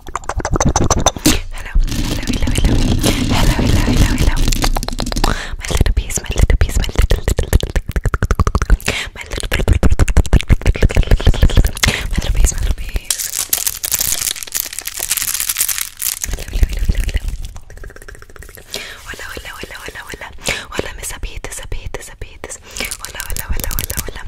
Hello, hello, hello, hello, hello, hello, hello, hello. My little piece, my little piece, my little, my little, my little piece, my little piece. Hello, hello, hello, hello. Hola, hola, hola, hola, hola. Hola, mis amiguitos, amiguitos, amiguitos. Hola, hola, hola, hola, hola.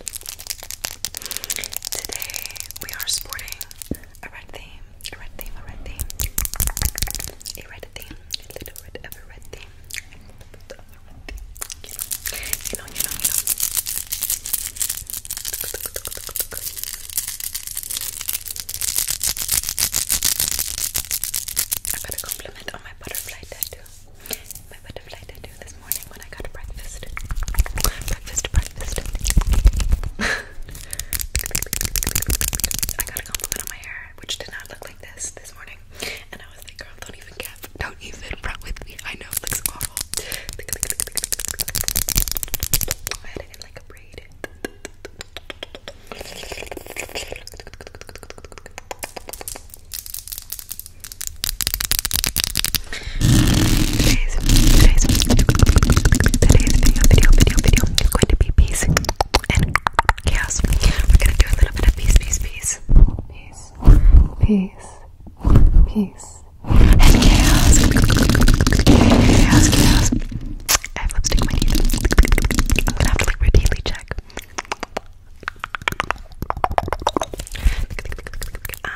Today we are sporting a red theme, a red theme, a red theme, a red theme, a little bit of a red theme, a little bit of a red theme. You know, you know, you know. I got a compliment on my butterfly tattoo. My butterfly tattoo. This morning when I got breakfast. Breakfast, breakfast. I got a compliment on my hair, which did not look like this this morning. And I was like, girl, don't even cap. Don't even front me. I know it looks awful. I had it in like a braid. Today's, today's, today's video, video, video, video is going to be peace and chaos. We're gonna do a little bit of peace, peace, peace, peace, peace, peace, and chaos. Chaos, chaos. I have lipstick on my teeth. I'm gonna have to like routinely check. Um,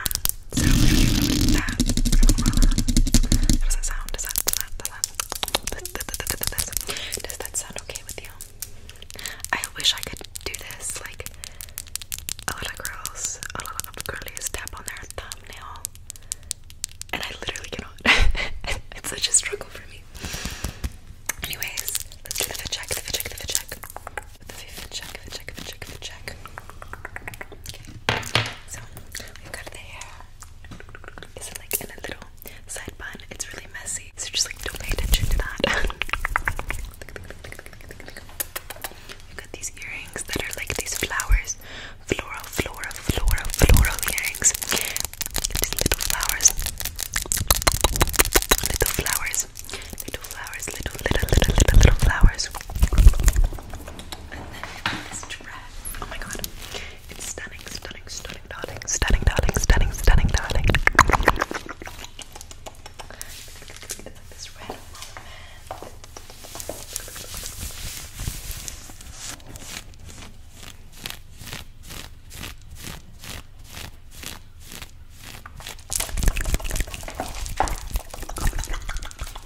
so we're gonna get rid of that. How does sound? Does that, sound okay with you? I wish I could do this, like, a lot of girls, a lot of girls tap on their thumbnail, and I literally cannot. it's such a struggle for me. Anyways, let's do the fit check, the fit check, the fit check the so we've got the hair. Is like in a little side bun? It's really messy, so just like don't pay attention to that. We've got these earrings that are like these flowers, floral, floral, floral, floral earrings. little flowers, little flowers, little flowers, little, little, little, little, little flowers. And then this dress. Oh my god. It's stunning, stunning, stunning, darling, stunning, darling, stunning, stunning, darling. It's like this red moment. And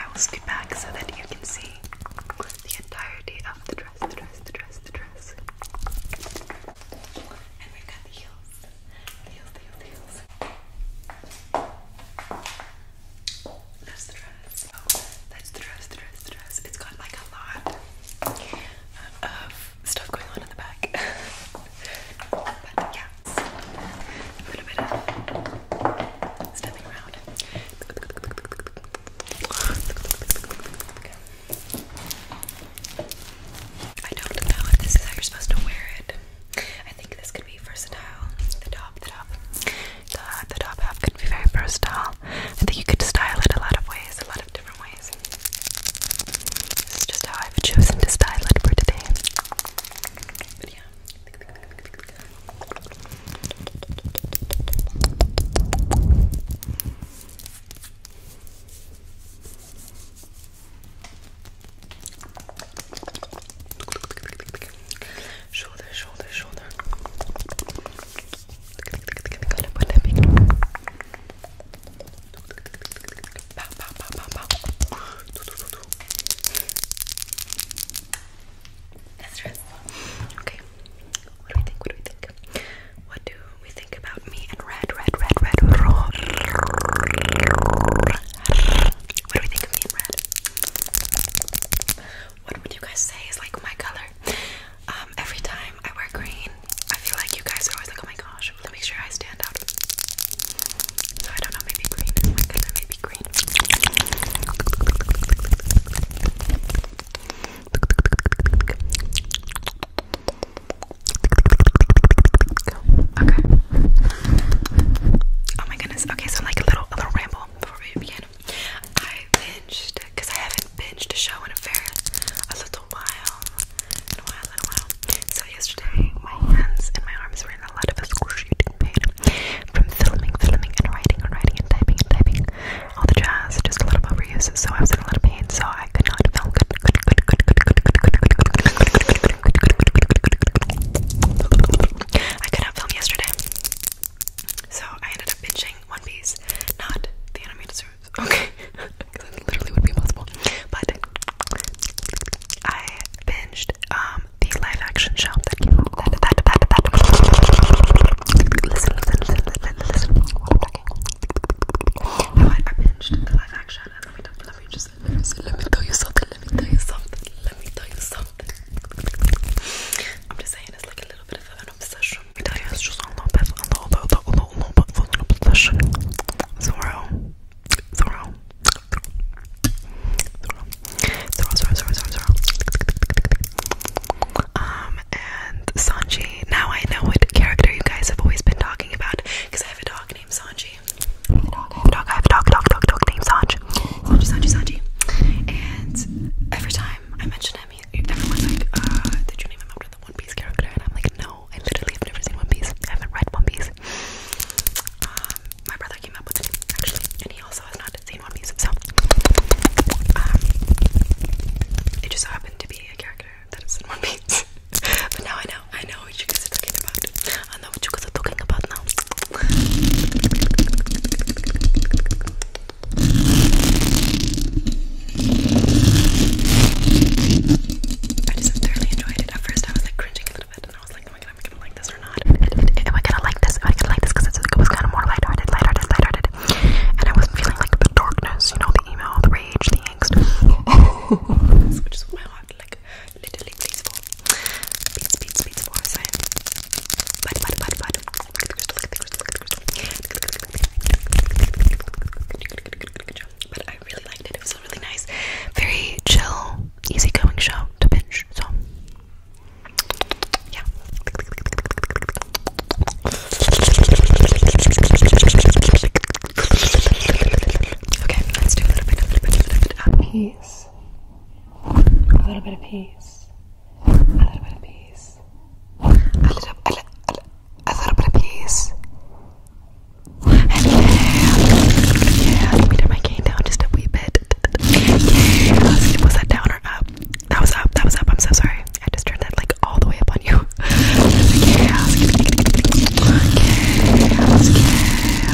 I will scoot back so that you can see the entirety of the dress, the dress, the dress, the dress. And we got the heels. That's the dress. Oh, that's the dress, the dress, the dress. It's got like a lot of stuff going on in the back. but yeah, a bit of stepping around. I don't know if this is how you're supposed to wear it. I think this could be versatile. The top, the top, the, the top half could be very versatile. I think you could style it a lot of ways, a lot of different ways. This is just how I've chosen to style it for today. But yeah. Shoulder, shoulder, shoulder. Okay. What do we think? What do we think? What do we think about me and red, red, red, red, raw? What do we think of me and red? What would you guys say is like my color? Um, every time I wear green, I feel like you guys are always like, oh my gosh, let me make sure I stand out. So I don't know, maybe green is oh my color, maybe green go. Okay. Oh my goodness. Okay, so like a little a little ramble before we begin. I binged because I haven't binged a show in a very a little while. In a while, in a while. So yesterday my hands and my arms were in a lot of excruciating pain. From filming, filming and writing and writing and typing and typing. All the jazz, just a lot of overuse, so I was in a lot of pain, so I could not film good good good good good good good good good good good good good good good I could not film yesterday, so I ended up bitching One Piece, not the animated series. Okay, because that literally would be impossible. But I binged um, the live action show that came out. That Listen, listen, listen, listen. What i binged the live action, said, let me say, let me tell you something, let me tell you something, let me tell you something. I'm just saying it's like a little bit of an obsession. Let me tell you, it's just a little bit, a little bit, a little, a little bit of an obsession. Zorro. Zorro. Zorro. Zorro, Zorro, Zorro, Zorro, Zorro. Um, and Sanji. Now I know what character you guys have always been talking about because I have a dog named Sanji. I have a dog, I have a dog, I have a dog, dog, dog, dog named Sanj. Sanji, Sanji, Sanji. And every time I mention him, he, everyone's like, uh, did you name him after the One Piece character? And I'm like, no, I literally have never seen One Piece. I haven't read One Piece. Um, my brother came up with it, actually, and he also has not seen One Piece. So, um, it just happened to be a character that is in One Piece. but now I I know what you guys are talking about. I know what you guys are talking about now. I just thoroughly enjoyed it. At first, I was like cringing a little bit, and I was like, "Am I going am I gonna like this or not? Am I gonna like this? Am I gonna like this?" Because it was kind of more lighthearted, lighthearted, lighthearted, and I wasn't feeling like the darkness, you know, the email, the rage, the angst, which is why I like literally please for beats beats beats for so but but but but but I really liked it. It was really nice, very chill, easygoing show to binge. So yeah. Okay, let's do a little bit, a little bit, a little bit of uh, peace a little bit of peace, a little bit of peace, a little, a little, a little bit of peace. yeah, yeah, let me turn my cane down just a wee bit. Yeah, was that down or up? That was up. That was up. I'm so sorry. I just turned that like all the way up on you. Chaos, chaos,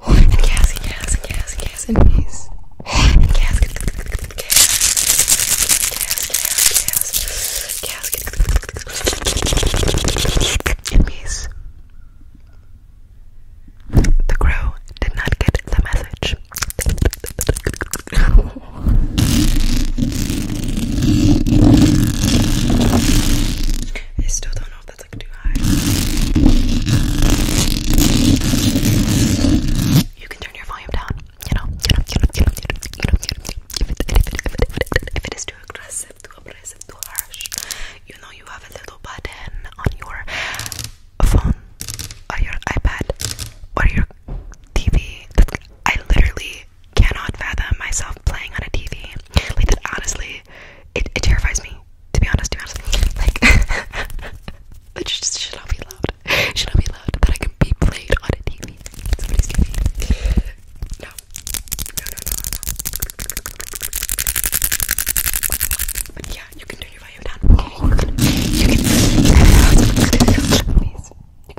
gas, gas, gas, and gas, gas, gas, and peace. The crow did not get the message. I still don't know if that's too high. You can turn your volume down. You know, you know, you know, you know, you know, you know, you know, If, it is too aggressive, too oppressive, too harsh, you know you have a little button on your phone on your iPad or your TV. I literally cannot fathom myself playing on a TV. Like that honestly it, terrifies me. To be honest, to be honest, like it should not be loud. should not be loud that I can be played on a TV. Somebody's TV. No, no, no, no, no. But yeah, you can turn your volume down. You can. Please, you can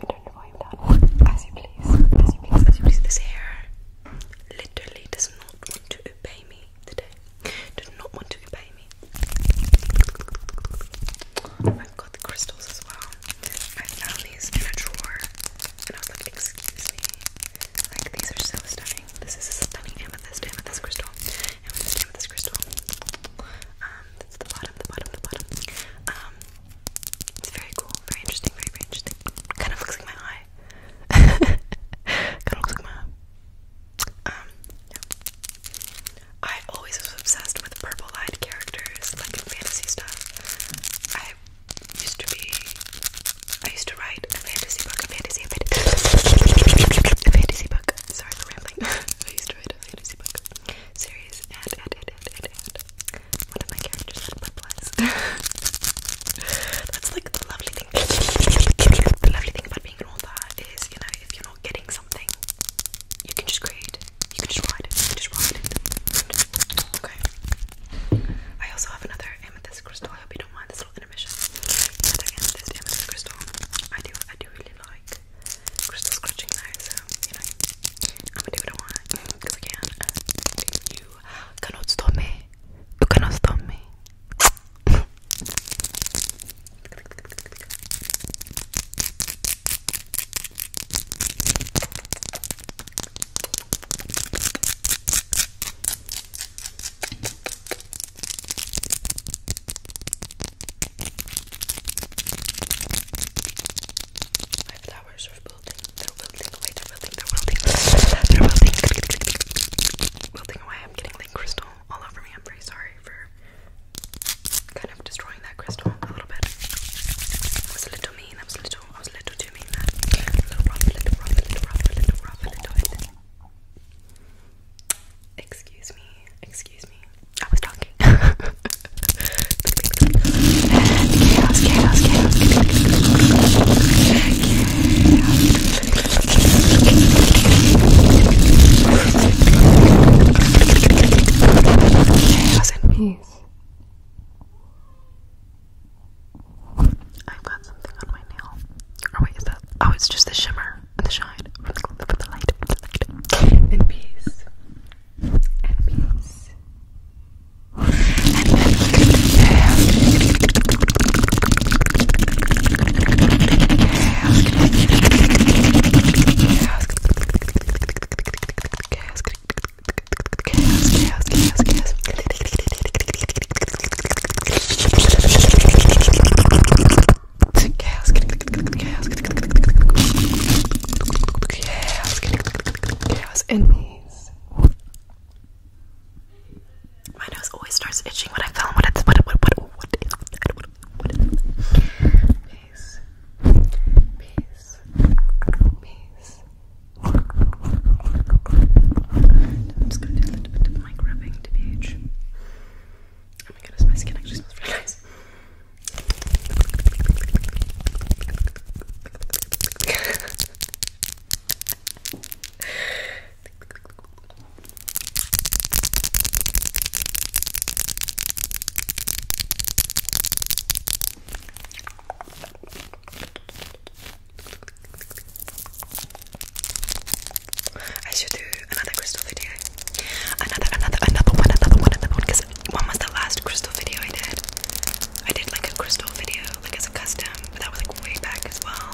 turn your volume down as you please, as you please, please. This hair literally does not want to obey me me not want to obey me. i got the crystals as well. I found these in a drawer and I was like, excuse me. Like, these are so stunning. This is a stunning amethyst, amethyst crystal. Amethyst, crystal. Um, that's the bottom, the bottom, the bottom. Um, it's very cool, very interesting, very interesting. Kind of looks like my eye kind of looks like my mom. Um, yeah. I always was obsessed with purple-eyed characters, like in fantasy stuff. I used to be, I used to write a fantasy book, a fantasy, a fantasy, a fantasy book. Sorry for rambling. I used to write a fantasy book series, and and and and and, and. one of my characters had purple eyes. That's like the lovely thing. The lovely thing about being an author is, you know, if you're not getting something, you can just create. You can just write just write Okay. I also have another amethyst crystal. I hope you don't mind this little intermission. Another amethyst, crystal. I do, I do really like crystal scratching now, so you know, I'm gonna do what I want I can. Uh, you cannot stop me. You cannot stop me. My flowers are building, they're building, wait, they they're wilting, they're wilting, wilting away. I'm getting like crystal all over me. I'm very sorry for kind of destroying that crystal a little bit. I was a little mean. I was a little, I was a little too mean. That Excuse me, excuse me. I was talking. chaos, chaos, chaos, Chaos and peace. I've got something on my nail. Oh wait, is that? Oh, it's just the shimmer and the shine from the, light. From peace. Chaos, chaos, chaos, chaos, chaos. Chaos, chaos, chaos, chaos in these my nose always starts itching when I film. What it's what what what what is what what what is peace peace peace. I'm just gonna do a little bit of mic rubbing to pH. Oh my goodness, my skin actually smells really nice. I should do another crystal video. Another, another, another one, another one, another one. Because one was the last crystal video I did. I did like a crystal video, like as a custom, but that was like way back as well.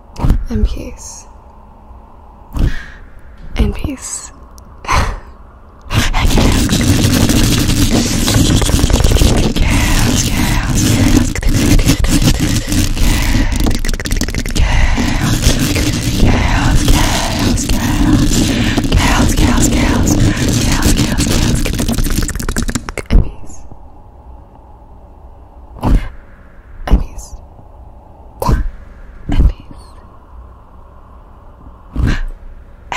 In peace. In peace. Elise. Elise.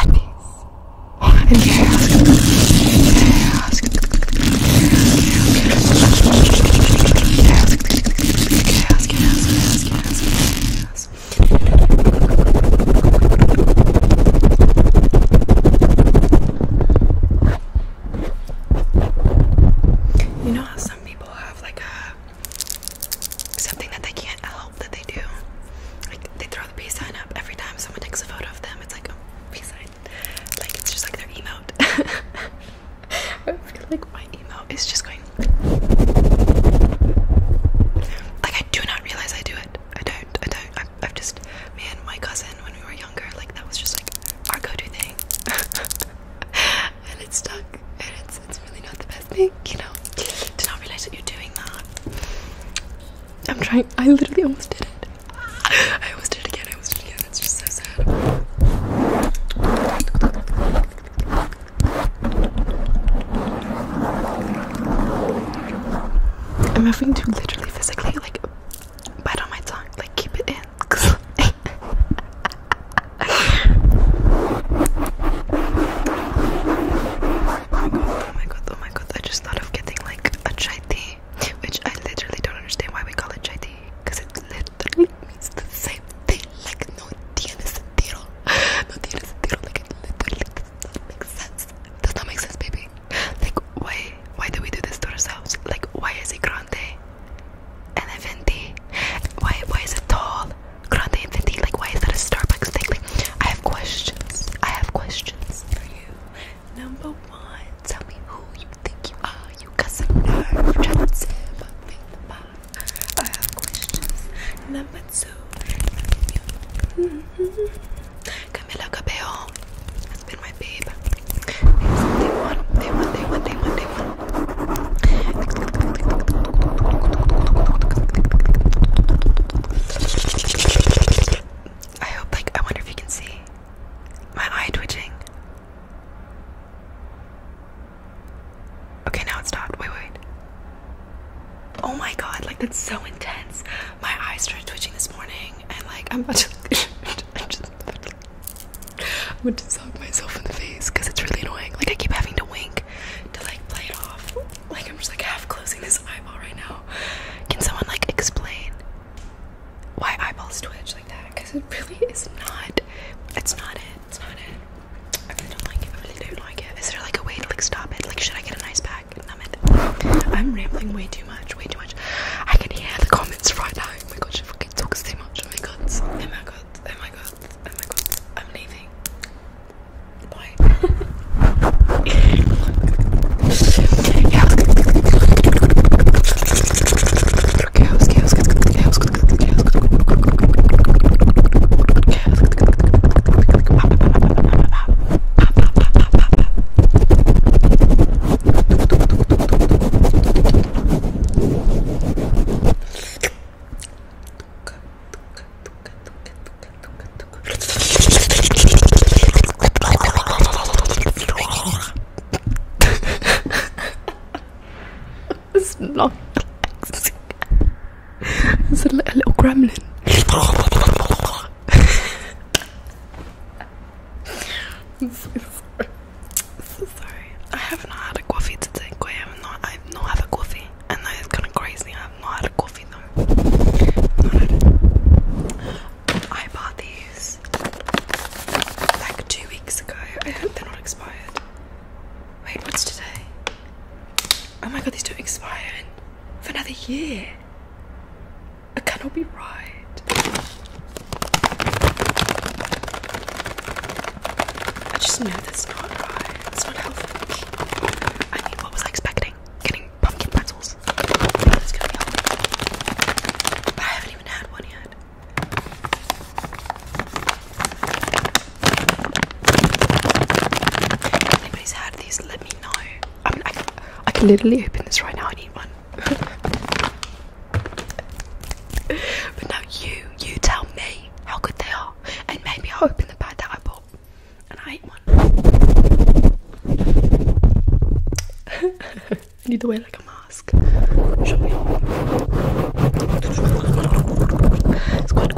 Elise. And chaos. Chaos. Chaos. Chaos. Chaos. Chaos. Chaos. You know how some some people have like a something that they can't help that they do. Like they throw the peace sign up every time someone takes a photo of them. It's like a peace sign. Like it's just like their emote. I feel like my emote is just going. Like I do not realize I do it. I don't. I don't. I, have just man. my cousin when we were younger. Like that was just like our go-to thing. and it's stuck and it's, it's really not the best thing, you know, Did not realize that you're doing that. I'm trying, I literally almost did it. I almost did it again, I almost did it again, that's just so sad. I'm having to literally physically like bite on my tongue, like keep it in. oh my god, oh my god, I just thought of getting like a chai tea, which I literally don't understand why we call it chai tea, because it literally means the same thing, like no tiene sentido, no tiene sentido, like it literally does not make sense, does not make sense, baby, like why, why do we do this to ourselves, like why is it grande? and Why why is it tall? Grande and Like why is that a Starbucks thing? Like I have questions. I have questions for you. Number one, tell me who you think you are. You got some nerve trying to make the I have questions. Number two, Camila Cabello has been my babe. they want, they want, they want, they want, they want. I hope, like, I wonder if you can see my eye twitching. Okay, now it's stopped. Wait, wait. Oh my god, like, that's so intense. My eyes started twitching this morning, and, like, I'm about to. I'm just, I'm gonna slap myself in the face because it's really annoying. Like I keep having to wink to like play it off. Like I'm just like half closing this eyeball right now. Can someone like explain why eyeballs twitch like that? Because it really is not. It's not it. It's not it. I really don't like it. I really don't like it. Is there like a way to like stop it? Like should I get an ice pack? Numb it. I'm rambling way too much. Way too much. I can hear the comments right now. Oh my god, she fucking talks too much. Oh my god. Oh my god. Oh my god. Oh my god, I'm leaving. Bye. chaos, chaos, chaos, chaos, chaos, chaos. It's not relaxing. It's a little gremlin. I'm so sorry. sorry. I have not had a coffee today. I have not. I've not had a coffee, and that is kind of crazy. I have not had a coffee though. I bought these like two weeks ago. I hope they're not expired. Wait, what's today? Oh my god, these don't expire for another year. I cannot be right. I just know that's not right. It's not healthy. I mean, what was I expecting? Getting pumpkin pretzels. it's gonna be healthy. I haven't even had one yet. anybody's had these, let me know. I can literally open this right now. I need one. but now you, you tell me how good they are, and maybe I'll open the bag that I bought and I ate one. I need to wear like a mask. Show me. Squad, squad, squad, squad, squad,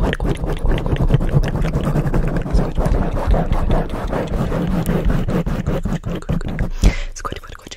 squad, squad, squad, squad, squad,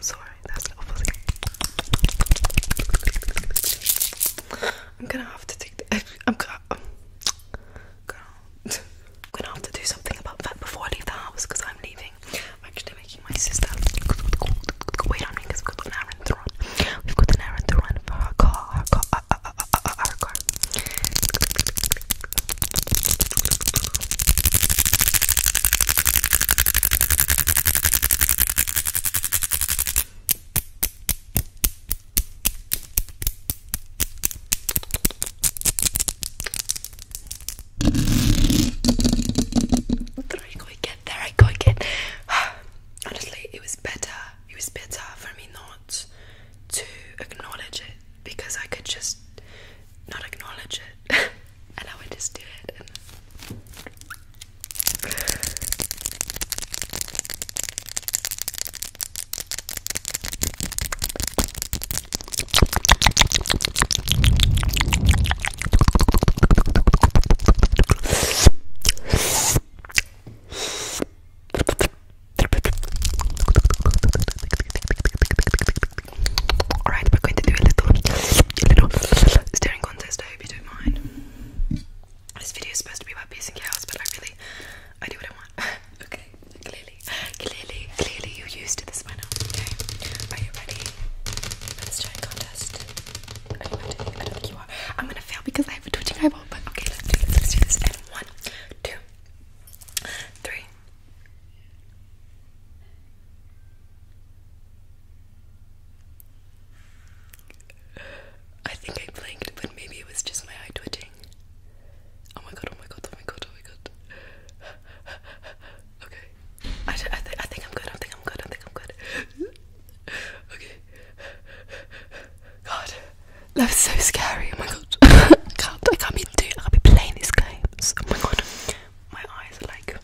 Sorry, that's not I'm gonna have to take the. I'm gonna. I'm gonna have to do something about that before I leave the house because I'm leaving. I'm actually making my sister. Wait on me because we've got an errand to run. We've got an errand to run for her car. her car. There I go again, there I go again. Honestly, it was better, it was better for me not to acknowledge it because I could just not acknowledge it. and I would just do it and Alright, we're going to do a little, staring contest. I hope you don't mind. This video is supposed to be about piercing your house, but I really, I do what I want. okay, clearly, clearly, clearly you're used to this by now. Okay, are you ready for the staring contest? Are you I don't think you are. I'm gonna fail because I have a twitching eyeball, but okay, let's do this. Let's do this. And one, two, three, I think I blinked, but maybe it was just my eye twitching. Oh my god, oh my god, oh my god, oh my god. okay. I, I, th I think I'm good, I think I'm good, I think I'm good. okay. God, that was so scary, oh my god. can't, I can't be doing, I can't be playing these games. Oh my god, my eyes are like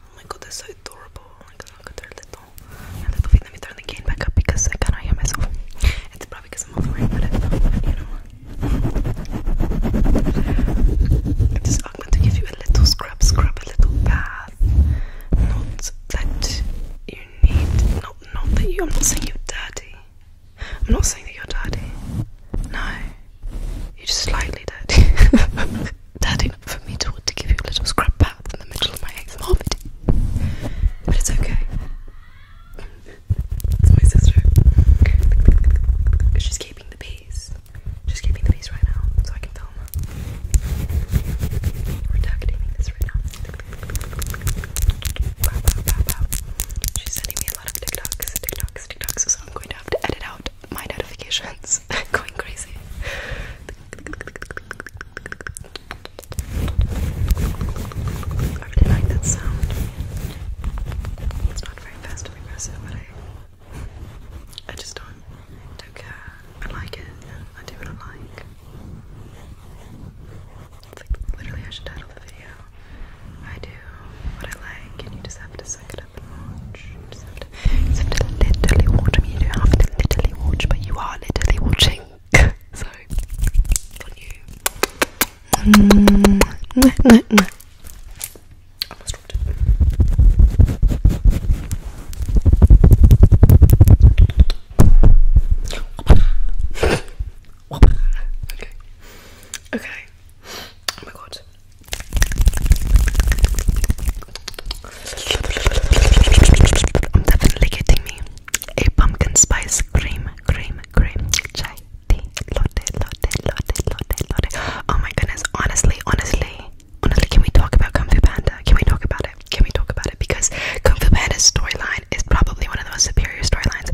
Oh my god, that's so adorable. Oh my god, look at their little, their little feet. Let me turn the cane back up because I cannot hear myself. It's probably because I'm over it, but you know. is I'm going to give you a little scrub, scrub, a little bath. Not that you need, not, not that you, I'm not saying you're dirty. I'm not saying that you're dirty. No. You're slightly dirty. Daddy for me to want to give you a little scrap bath in the middle of my exam oh, But it's okay. It's my sister. She's keeping the peace. She's keeping the peace right now, so I can film We're targeting this right now. She's sending me a lot of TikToks, TikToks, TikToks, so I'm going to have to edit out my notifications going crazy. I really like that sound. It's not very fast and aggressive, but I, I just don't, care. I like it, I do what I like. It's like literally I should title the video. I do what I like, and you just have to you have to, literally watch. I mean, you to literally but you are literally watching. so, on you. Mm. okay. Okay. Oh my god. I'm definitely getting me a pumpkin spice cream, cream, cream, chai tea, latte, latte, latte, latte, latte. Oh my goodness, honestly, honestly, honestly, can we talk about Kung Fu Panda? Can we talk about it? Can we talk about it? Because Kung Fu Panda's storyline is probably one of the most superior storylines.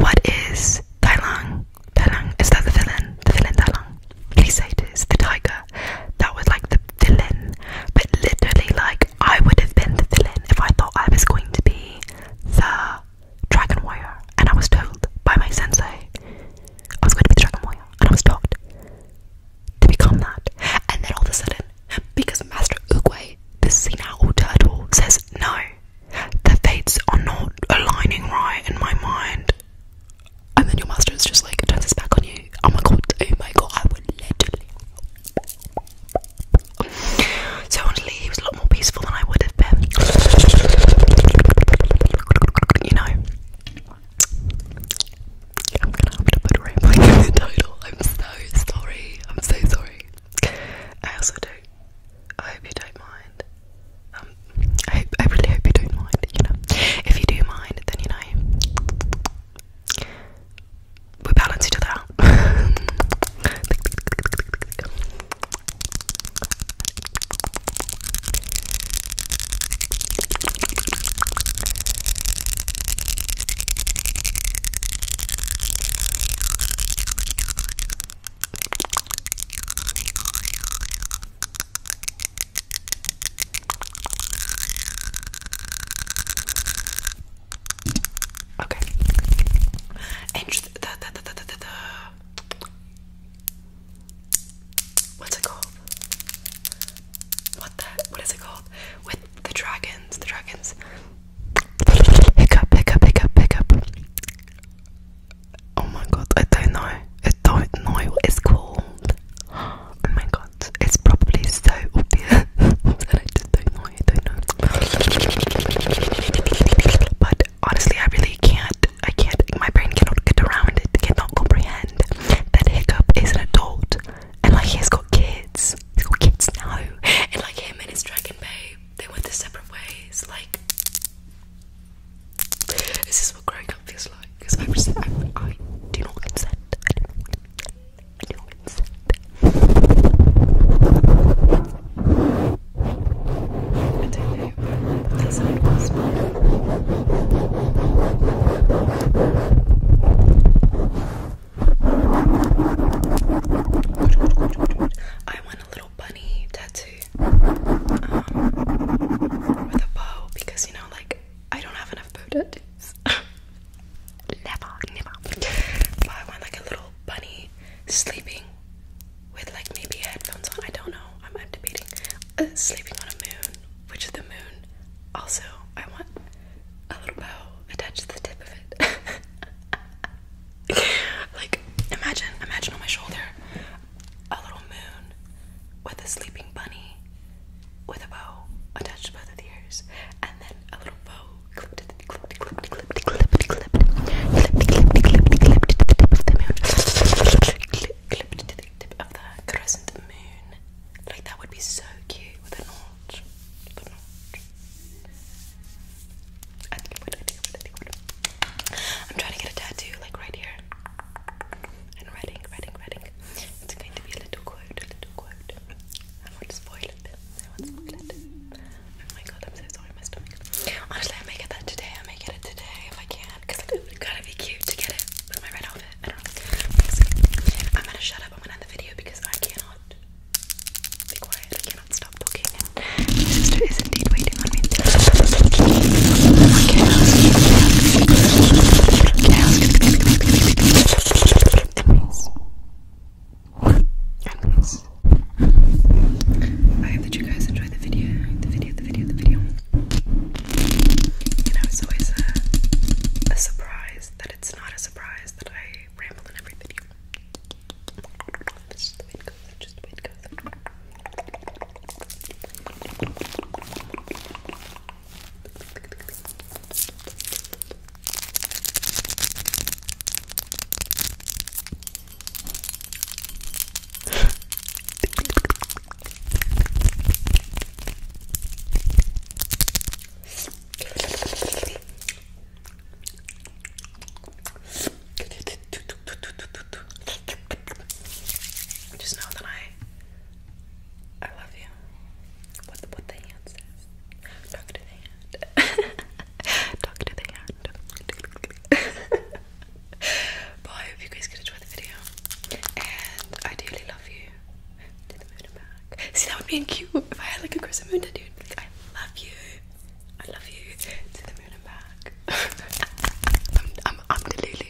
What is Tai Lung? Tai Lung? Is that the villain? The villain Tai Lung? Please say Crusaders, the tiger, that was like the villain. But literally, like, I would have been the villain if I thought I was going to be the dragon warrior. And I was told by my sensei I was going to be the dragon warrior. And I was told to become that. And then all of a sudden, because Master Uguay, the senile turtle, says no. The fates are not aligning right in my mind and then your master's just like turns its back on you. Oh my god, oh my god, I would literally. So honestly, he was a lot more peaceful than I would have been. You know, I'm gonna have to put a rainbow in the title. I'm so sorry. I'm so sorry. I also do. I hope you don't mind. Um, I really hope you don't mind. You know, if you do mind, then you know we balance each other out. Okay. And the, the, the, the, the, what's it called? What the what is it called? With the dragons, the dragons. Hiccup, hiccup, hiccup, hiccup. Oh my god, I don't know. I don't know what it's called. Oh my god. It's probably so obvious that I just don't know. I don't know. But honestly, I really can't. I can't. My brain cannot get around it. Cannot comprehend that Hiccup is an adult and like he's got kids. He's got kids now. And like him and his dragon babe, they went their separate ways. Like, this is what growing up feels because I I'm I, I do not consent. I do not consent. I want a little bunny tattoo um, with a bow because you know, like I don't have enough bow tattoos. never, never. I want like a little bunny sleeping with like maybe headphones on. I don't know. I'm, i debating. Uh, sleeping on a moon, which is the moon. Also, I want a little bow attached to the tip of it. like, imagine, imagine on my shoulder a little moon with a sleeping bunny with a bow attached to both the ears, and then a little bow of the crescent moon. Like that would be so cute I'm trying to get a tattoo like right here. And Reading, Reading, Reading. It's going to be a little quote, a little quote. I won't spoil it. I won't spoil it. Oh my god, I'm so sorry, my stomach. Honestly, I may get that today. I may get it today if I can. Because it would kind of be cute to get it with my red outfit. I don't know. I'm gonna shut up. I'm gonna end the video because I cannot be quiet. I cannot stop talking. And my sister is indeed waiting on me. Chaos. Chaos. Chaos. It means. It means. I hope that you guys enjoyed the video, the video, the video, the video. You know, it's always a, a surprise that it's not a surprise that I ramble in every video. That's just the way it goes, that's just the way it goes. Just know that I I love you. What what the hand says. Talk to the hand. Talk to the hand. but hope you guys could enjoy the video. And I dearly love you. To the moon and back. See, that would be cute if I had like a crescent moon tattoo. I love you. I love you. To the moon and back. I'm, I'm, I'm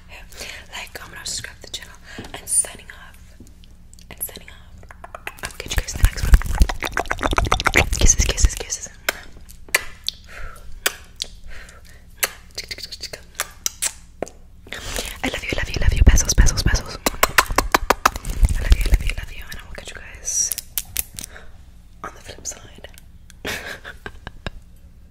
like, comment, or subscribe to the channel. And signing off. And signing off. I'll catch you guys in the next one. Kisses, kisses, kisses. I love you, love you, love you. Pesos, pesos, pesos. I love you, love you, love you. And I will catch you guys on the flip side.